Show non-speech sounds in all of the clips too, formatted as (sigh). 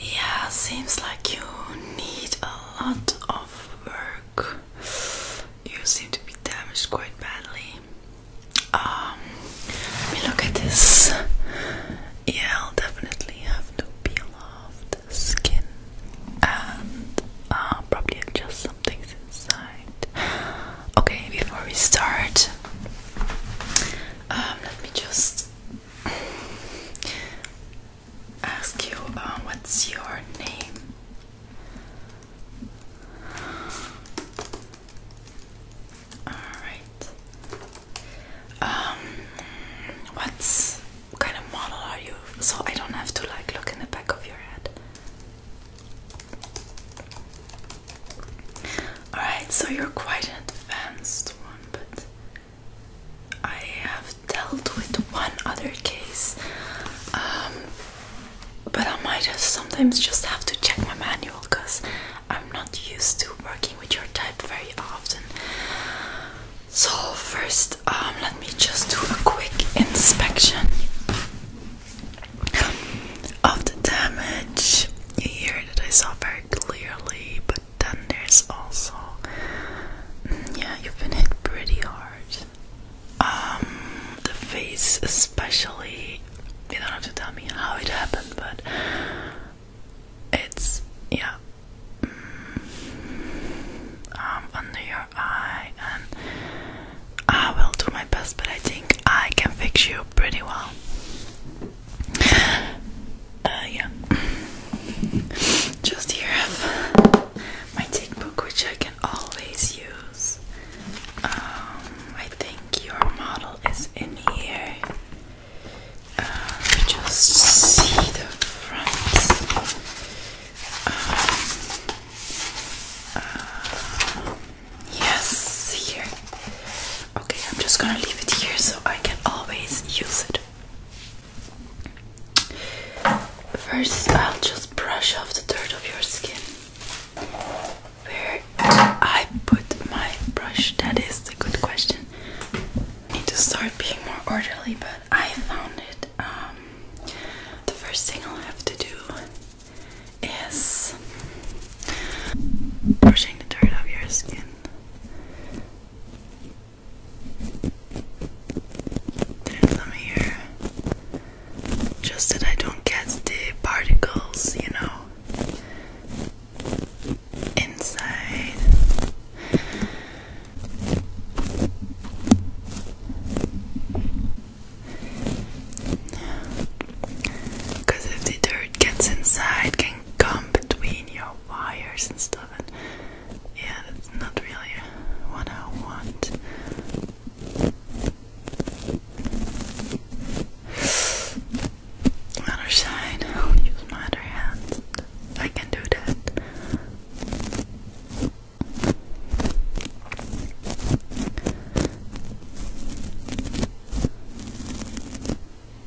Yeah, seems like you need a lot of work. You seem to be damaged quite badly. Um, let me look at this. Yeah, I'll definitely have to peel off the skin and uh, probably adjust some things inside. Okay, before we start, um, let me just ask you um, what's your name? Alright. Um, what kind of model are you? So I don't have to like look in the back of your head. Alright, so you're quite an advanced one, but I have dealt with one other case. Um, but I might have sometimes just have to check my manual because I'm not used to working with your type very often. So, first, um, let me just do a quick inspection of the damage you hear that I saw very clearly, but then there's also, mm, yeah, you've been hit pretty hard. Um, the face especially, you don't have to tell me how it happened, but it's, yeah, mm, um, under your eye, and I ah, will do my best, but I think I can fix you pretty well. Uh, yeah. Just here have my tick which I can always use. Um, I think your model is in here. Uh, just see the front. Um, uh, Yes, here. Okay, I'm just gonna leave it here so I can always use it. First, I'll just brush off the dirt of your skin. Where I put my brush, that is a good question. I need to start being more orderly, but I found it. Um, the first thing I'll have to do is Pushing the dirt off your skin. Then let me hear. Just that I don't get the particles, you know, inside. Because if the dirt gets inside, come between your wires and stuff. And yeah, that's not really what I want. Other side, use my other hand. I can do that.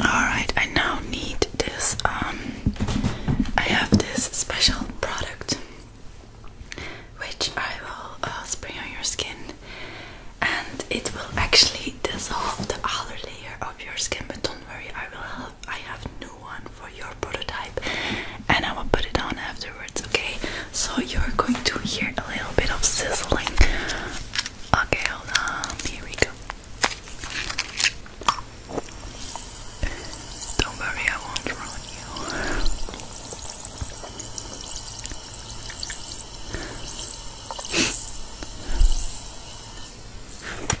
Alright, I now need this. Um, I have this special product which I will uh, spray on your skin and it will actually dissolve the outer layer of your skin. But don't worry, I will help. I have new one for your prototype and I will put it on afterwards, okay? So you're going to hear a little bit of sizzling. Okay, hold on, here we go. Don't worry, I won't ruin you.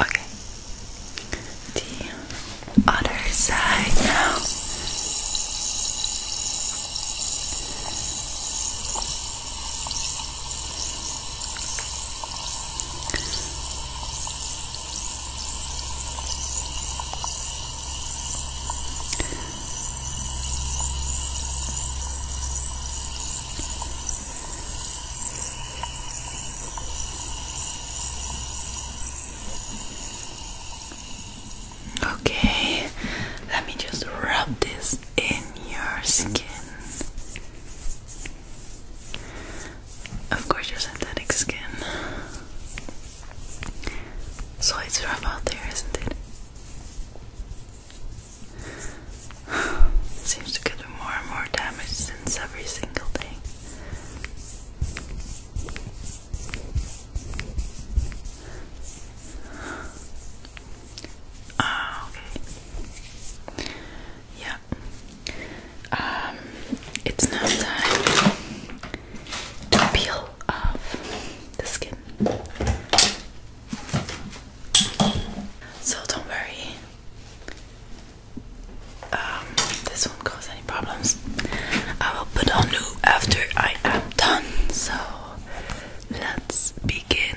Okay. The other side now. Okay, let me just rub this in your skin. Of course, your synthetic skin. So it's rough out there, isn't it? Seems to get more and more damage since every single day. Ah, okay. Yeah. Um, it's now time to peel off the skin. So don't worry, um, this won't cause any problems. I will put on new after I am done. So let's begin.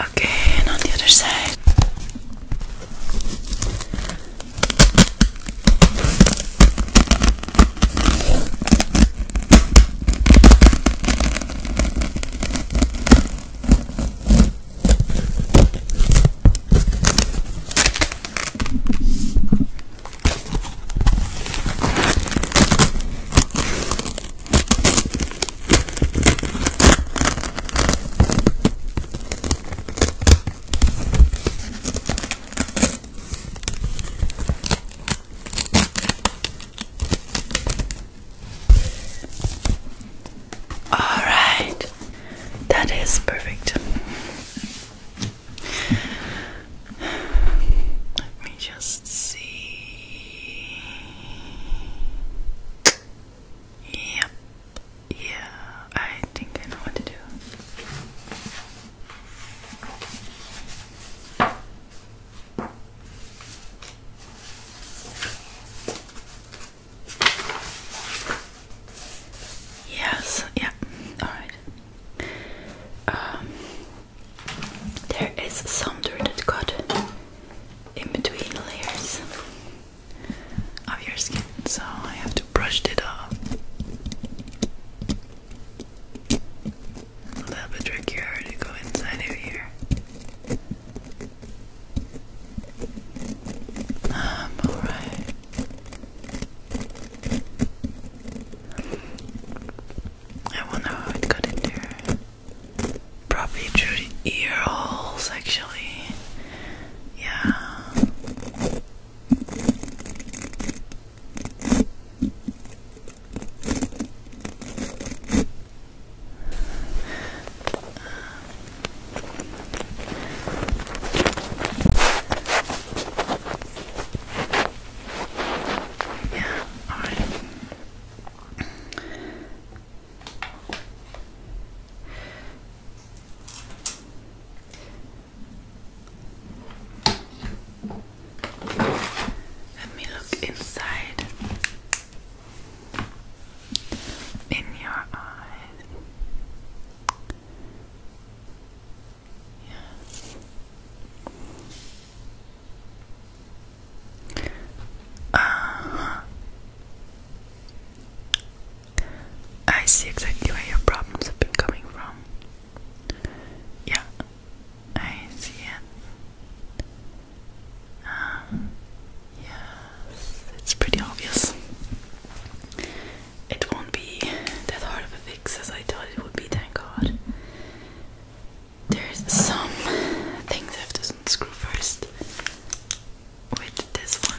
Okay, and on the other side. All right, that is perfect. Let me just see. Yep. Yeah, I think I know what to do. Yes, yeah, alright. Um there is some dirt that got in between layers of your skin, so I have to brush it off. A little bit trickier to go inside of here. I'm um, alright. I wonder how it got in there. Probably through the ear holes, actually. Yeah. Yeah, alright. Let me look inside in your eyes. Yeah. Uh-huh. I see exactly where your problems have been coming from. Yeah, I see it. Um, yes, it's pretty obvious. It won't be that hard of a fix as I thought it would be, thank God. There's some things I have to unscrew first with this one.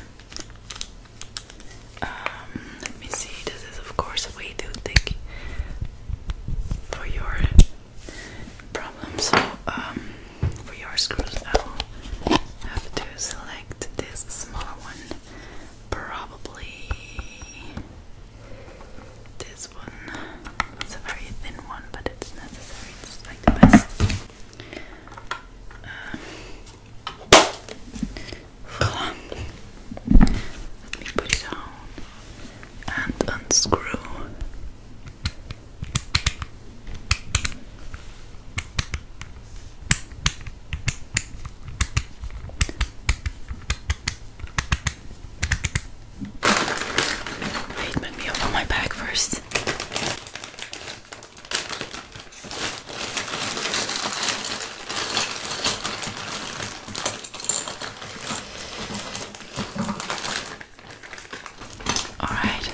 Um, let me see, this is of course way too thick for your problem, so um, for your screws I'll have to select this smaller one, probably this this It's a very thin one, but it's necessary. It's like the best. Um, let me put it down and unscrew. Wait, let me open my bag first. All right.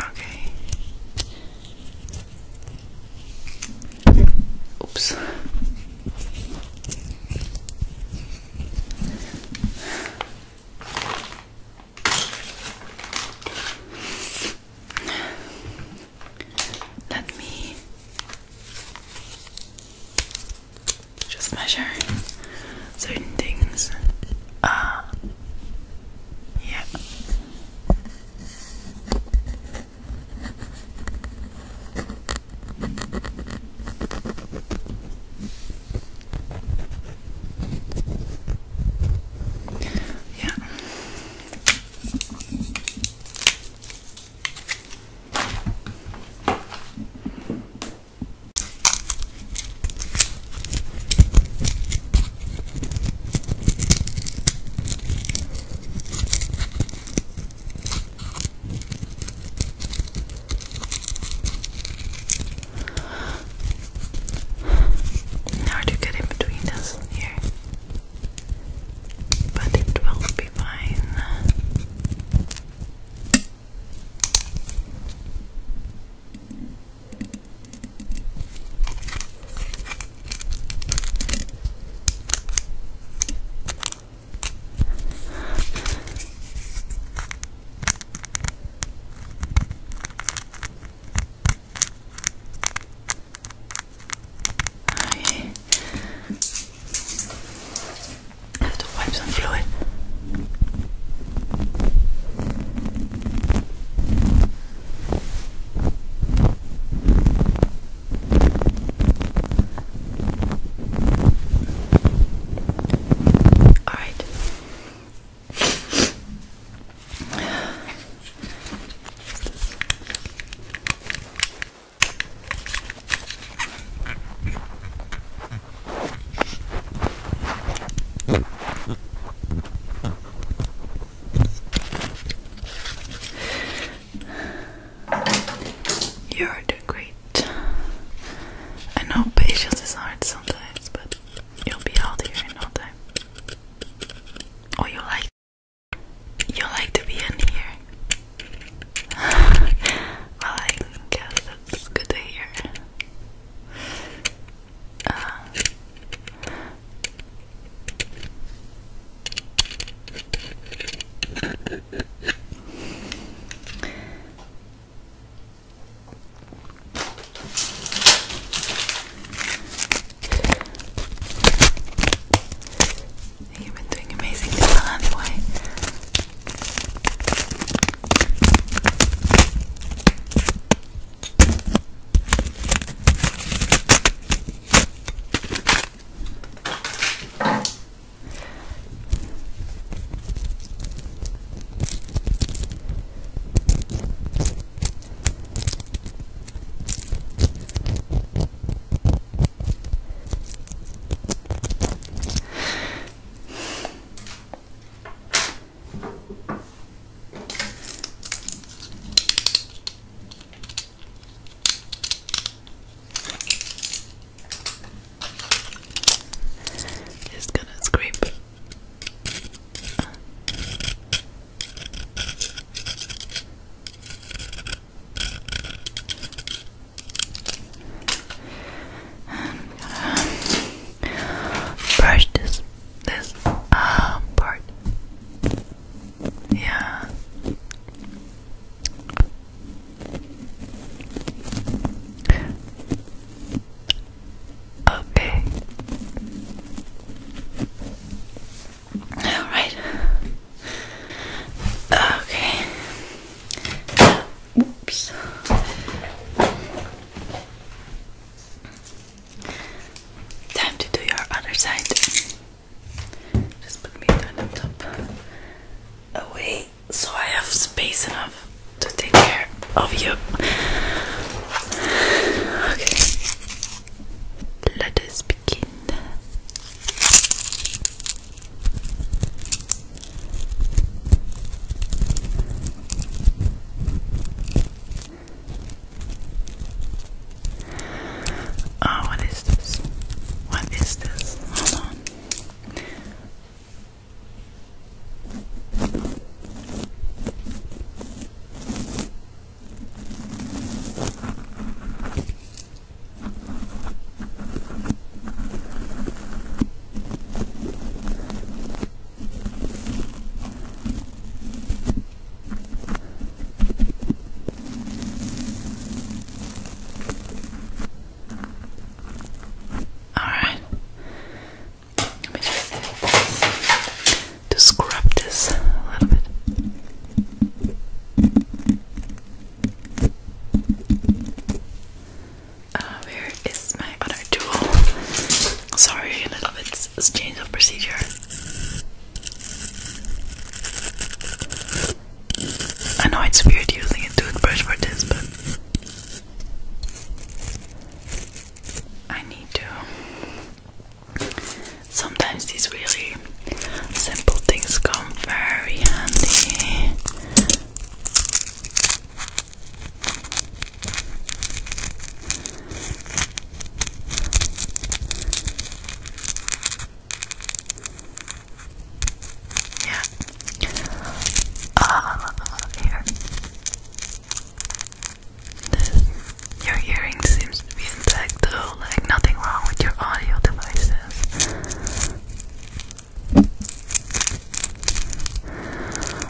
Okay. Oops. Let me just measure certain things. Uh, yeah. Yeah. Hard you get in between us here but it will be fine. I have to wipe some fluid. All right. You're doing great. I know patience is hard sometimes, but you'll be out here in no time. Oh, you like you like to be in here. (laughs) well, I guess that's good to hear. Uh, You've been doing amazingly well anyway. Good. It's gonna scrape. (sighs) brush this this uh, part. Yeah. Okay. All right. Okay. Oops. Time to do your other side. Just put me on the top away so I have space enough to take care of you. Okay. Let us begin. Oh, what is this? What is this? Hold on. Alright, let me just, just scrub this a little bit. Ah, where is my other tool? Sorry, a little bit change of procedure. I know it's weird using a toothbrush for this, but I need to. Sometimes these really simple things come very handy. Yeah. Uh, here. your hearing seems to be intact though, like nothing wrong with your audio devices.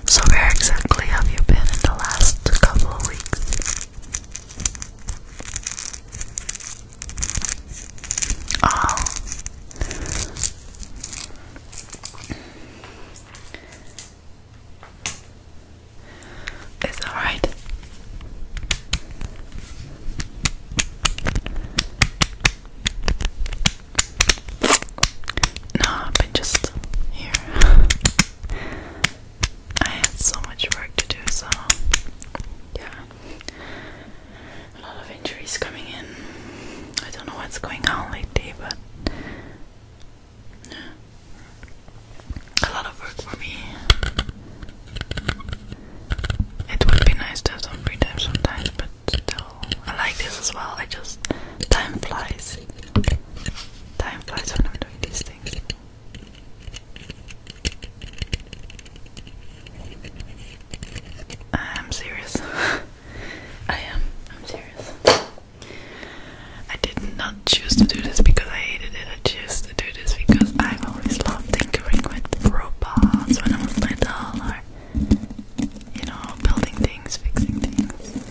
So, where exactly have you been in the last couple of weeks? Oh. It's alright. No, but just here. I had so much work to do, so yeah. A lot of injuries coming in. I don't know what's going on lately, but yeah. a lot of work for me. It would be nice to have some free time sometimes, but still, I like this as well. I just time flies. Time flies when I'm doing these things. I'm serious. (laughs) I am. I'm serious. I did not choose to do this because I hated it. I chose to do this because I've always loved it tinkering with robots when I was little, or you know, building things, fixing things.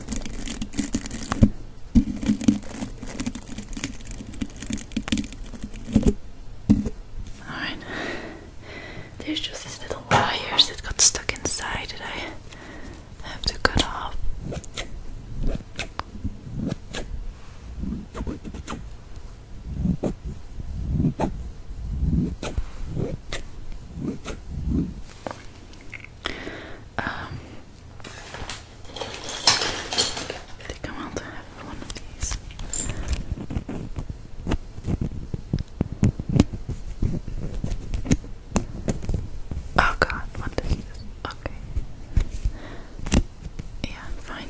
Alright. There's just these little wires that got stuck inside that I have to cut off. Um, I think I want to have one of these. Oh god, what is this? Okay. Yeah, fine.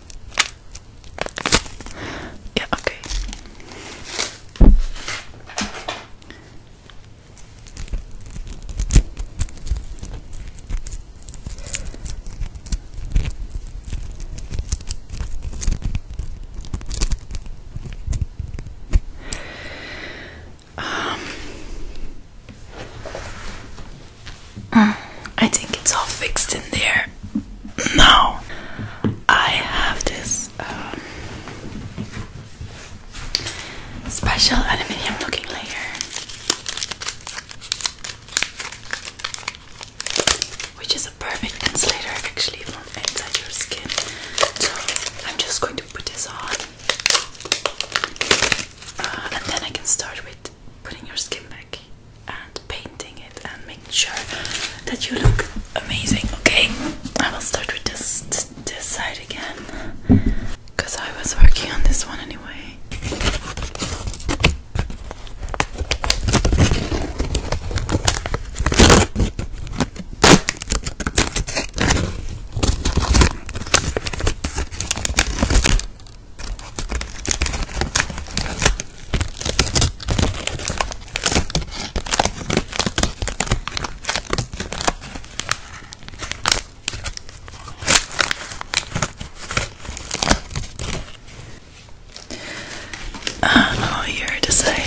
Yeah, okay. Um, I think it's all fixed in there now I have this um, special aluminium looking layer which is a perfect insulator actually from inside your skin. So I'm just going to put this on uh, and then I can start with putting your skin back and painting it and making sure that you look amazing. Okay, I will start with this this side again because I was working on this one anyway. I don't know what you're to decide.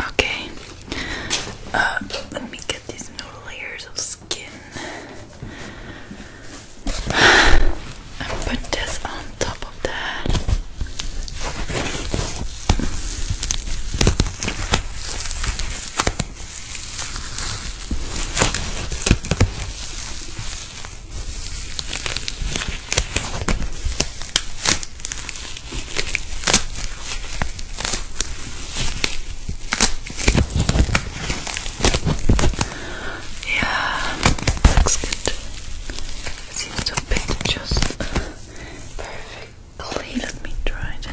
Okay. Uh, let me get these new layers of skin and put this on top of that. Yeah, looks good. seems to fit just perfectly. Let me try it.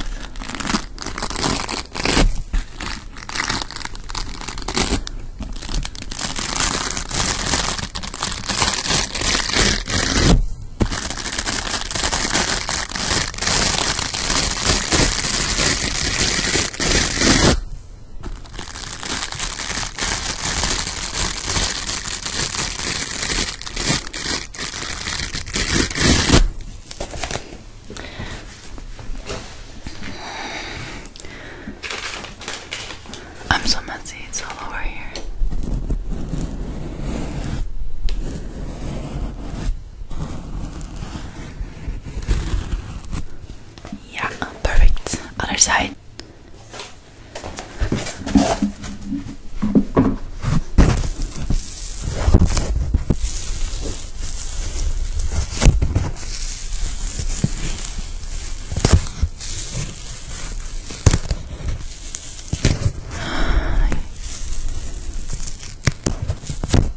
I'm so messy, it's all over here. Yeah, perfect. Other side.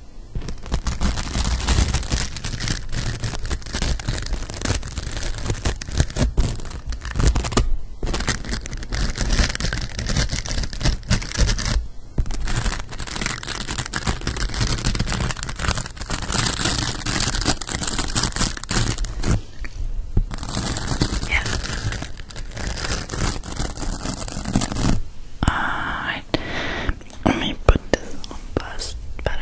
Yeah. Uh, right. Let me put this on first, better.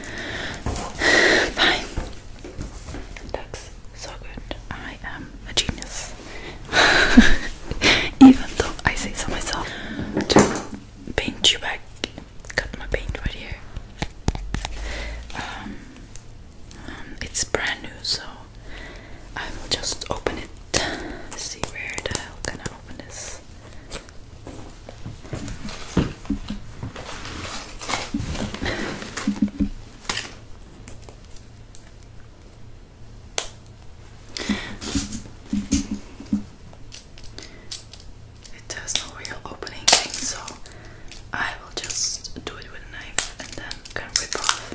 (sighs) Fine. Looks so good. I am a genius. (laughs) Even though I say so myself. To paint you back. Got my paint right here. Um, um, it's brand new, so I will just open it. See where the hell can I open this? It has no real opening thing, so I will just do it with a knife and then can rip off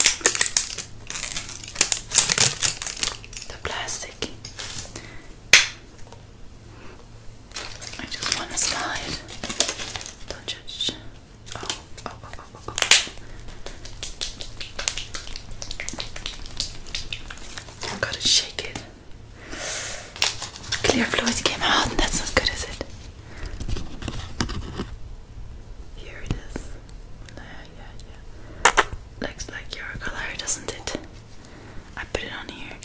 the plastic. I just want to slide. Don't judge. Oh, oh, oh, oh, oh. oh. gotta shake it. Clear fluid came out, and that's not good, is it? Here it is. Yeah, yeah, yeah. Looks like your color, doesn't it? I put it on here. I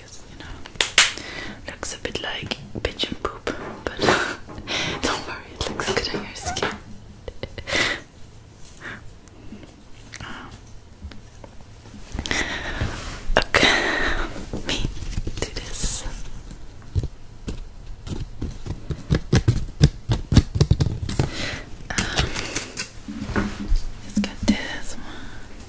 looks a bit like pigeon poop, but (laughs) don't worry, it looks good on your skin. (laughs) Um, okay, me do this. Um, just got this one.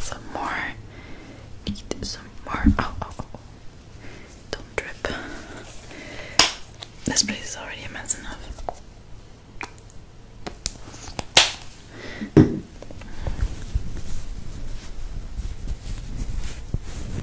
Some more. Need some more. Oh, oh, oh, oh. Don't drip. This place is already immense enough.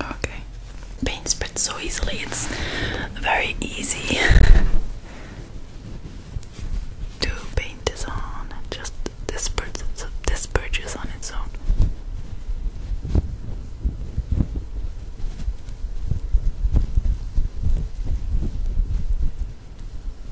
Okay. Paint spreads so easily, it's very easy (laughs) to paint this on and just disperse disperses on its own.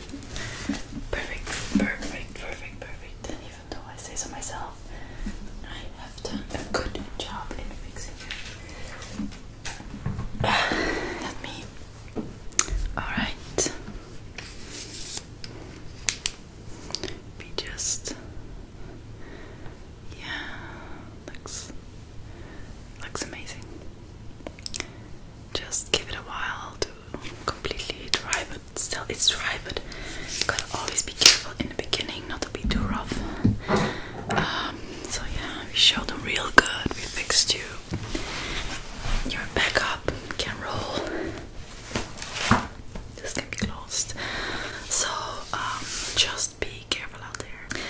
Perfect, perfect, perfect, perfect. And even though I say so myself, I have done a good job in fixing (sighs) let me. Alright. We just. Yeah, looks looks amazing. Just give it a while to completely dry, but still it's dry. But you gotta always be careful in the beginning not to be too rough. Um, so yeah, we showed them real good. We fixed you. You're back up. Can roll. This can be So um, just be careful out there.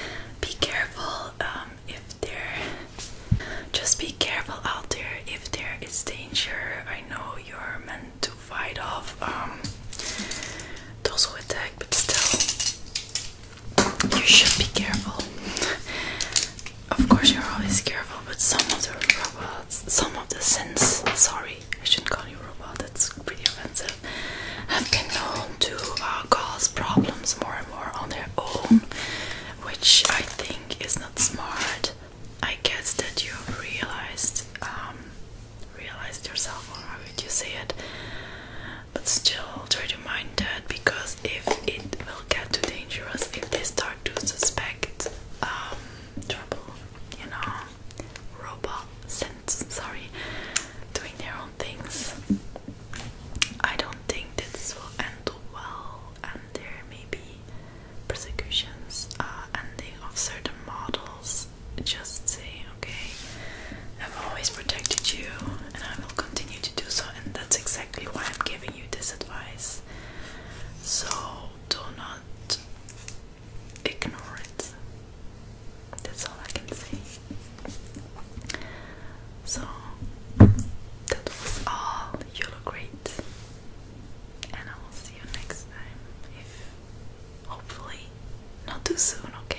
Be careful. Uh, um, if there just be careful out there if there is danger I know you're meant to fight off um, those who attack but still you should be careful of course you're always careful but some of the robots some of the sins sorry I shouldn't call you robot that's pretty offensive have been known to uh, cause problems more and more on their own which I think think is not smart. I guess that you have realized, um, realized yourself, or how would you say it? But still, try to mind that because if it will get too dangerous, if they start to suspect um, trouble, you know, robot sense, sorry, doing their own things, I don't think this will end well and there may be persecutions uh, ending of certain models. Just say, okay, I've always protected you and I will continue to do so, and that's exactly why I'm giving you this advice. So, do not ignore it. That's all I can say. So that was all. You look great, and I will see you next time. If hopefully not too soon, okay?